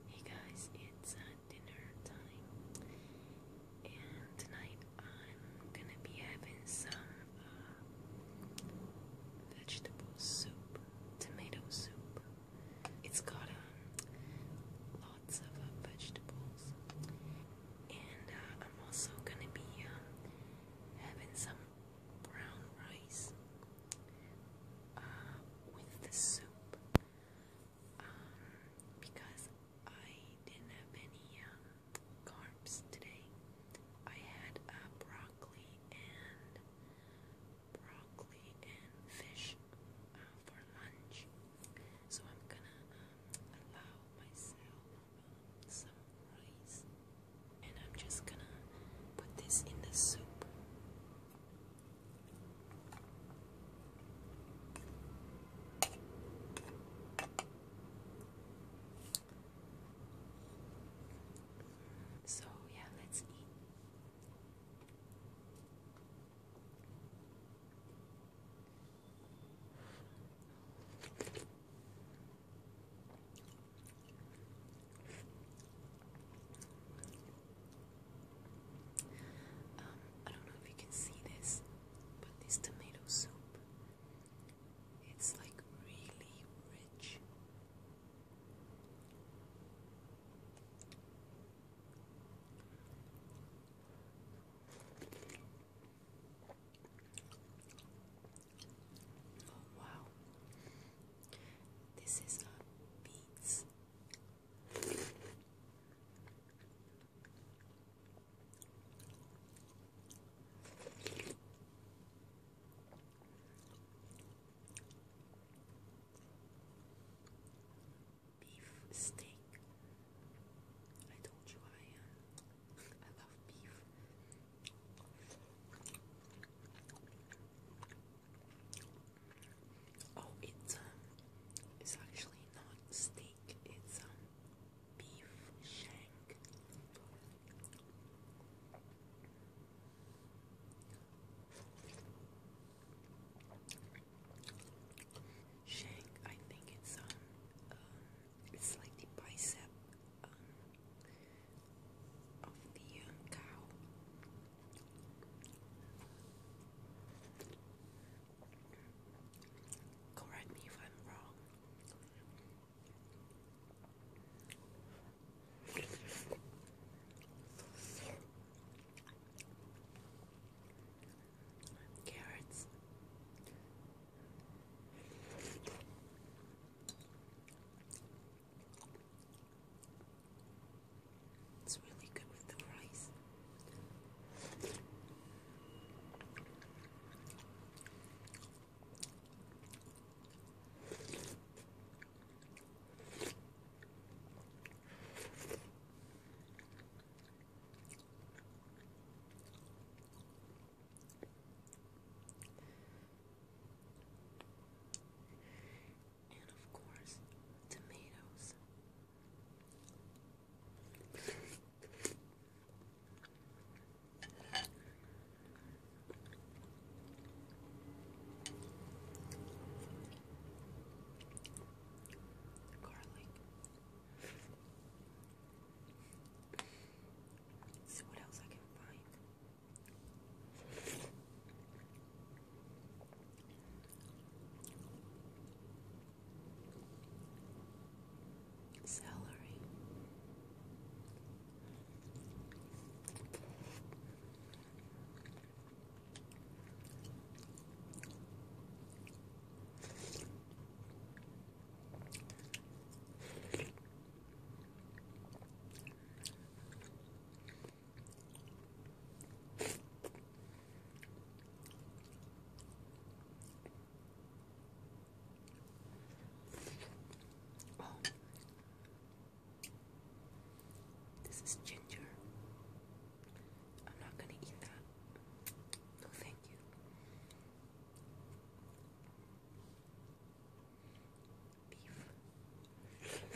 Hey guys, it's uh, dinner time, and tonight I'm gonna be having some uh, vegetable soup, tomato soup. It's got um, lots of uh, vegetables, and uh, I'm also gonna be um, having some brown rice with the soup because I didn't have any um, carbs today. I had uh, broccoli and broccoli and fish uh, for lunch, so I'm gonna um, allow myself um, some rice, and I'm just gonna put this in the soup. So, yeah, let's eat. Um, I don't know if you can see this, but this tomato soup, it's like really rich. Oh wow. This is a beets Beef steak. I told you I I love beef. Oh, it's um, it's actually not steak. It's um, beef shank. Shank. I think it's um, um it's like the bicep um, of the um, cow. Correct me if I'm wrong. Carrots. It's really good with the rice and of course, tomatoes. Garlic. See what else I can find celery. Oh, this is ginger. I'm not going to eat that. No, thank you.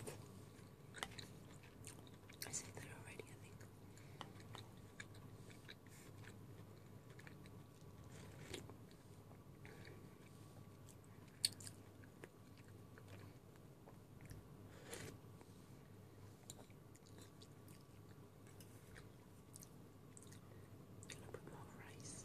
Beef. I said that already, I think. Can I put more rice?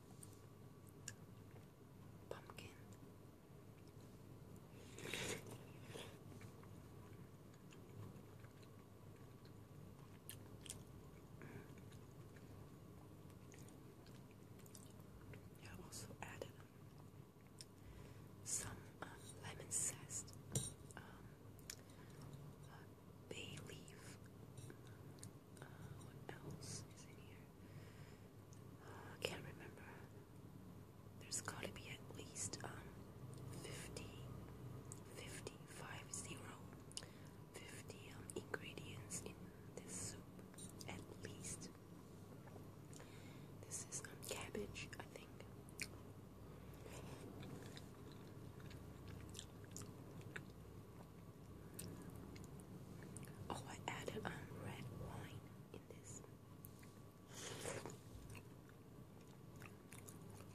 Pumpkin. Mm. Yeah, I also added some uh, lemon zest, um, uh, bay leaf. what else is in here? Uh, I can't remember. There's gotta be at least um 50, um, ingredients in this soup, at least. This is um, cabbage, I think. Oh, I added um, red wine in this.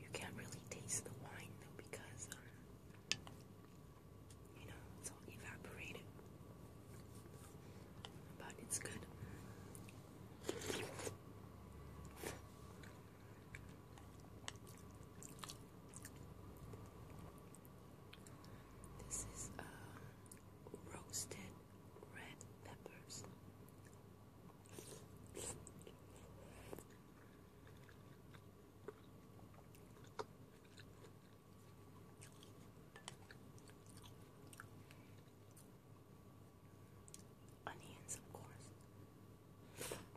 You can't really taste the wine though because, um, you know, it's all evaporated. But it's good. This is uh, roasted red peppers. Onions, of course.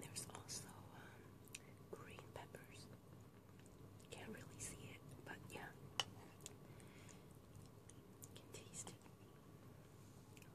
There's also um, green peppers. Can't really see it, but yeah, can taste it.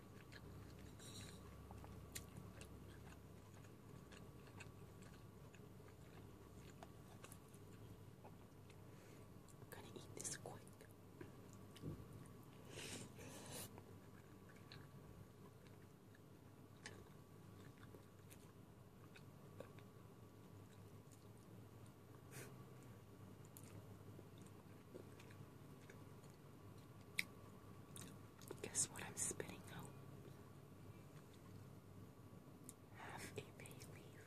I'm gonna eat this quick. Guess what I'm spitting out? Half a bay leaf.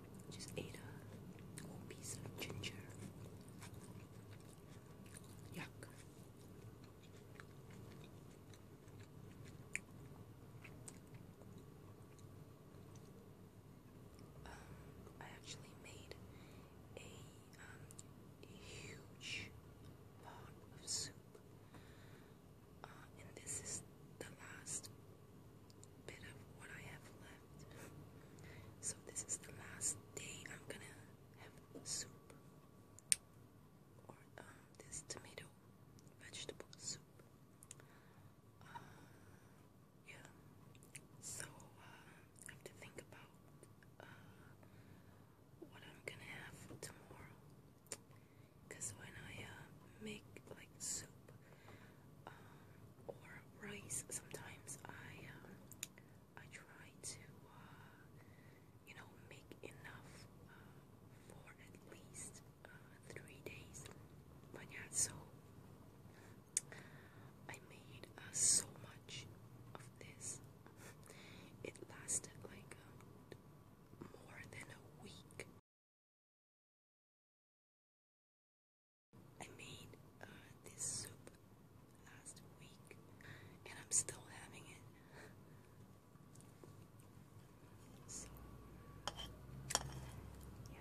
Just ate a whole piece of ginger. Yuck. Um, I actually made um, a, huge pot of soup. Uh, and this is the last bit of what I have left. So this is the last day I'm gonna have soup or uh, this tomato vegetable soup. Uh, yeah. So uh, I have to think about what I'm gonna have tomorrow. when I make like soup, or rice. Sometimes I um, I try to uh, you know make enough uh, for at least uh, three days. But yeah, so I made so much of this. It lasted like um, more than a week. I made uh, this soup last week and I'm still having it. yeah.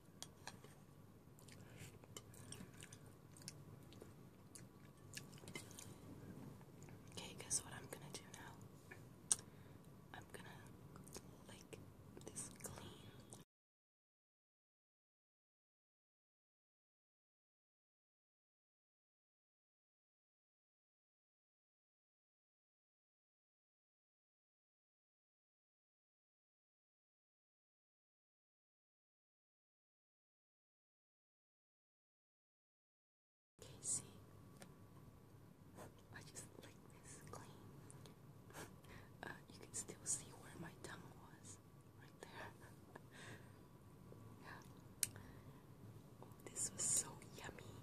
Okay, guess what I'm gonna do now? I'm gonna like this clean. See, I just licked this clean. Uh, you can still see where my tongue was, right there. yeah. Oh, this was so yummy.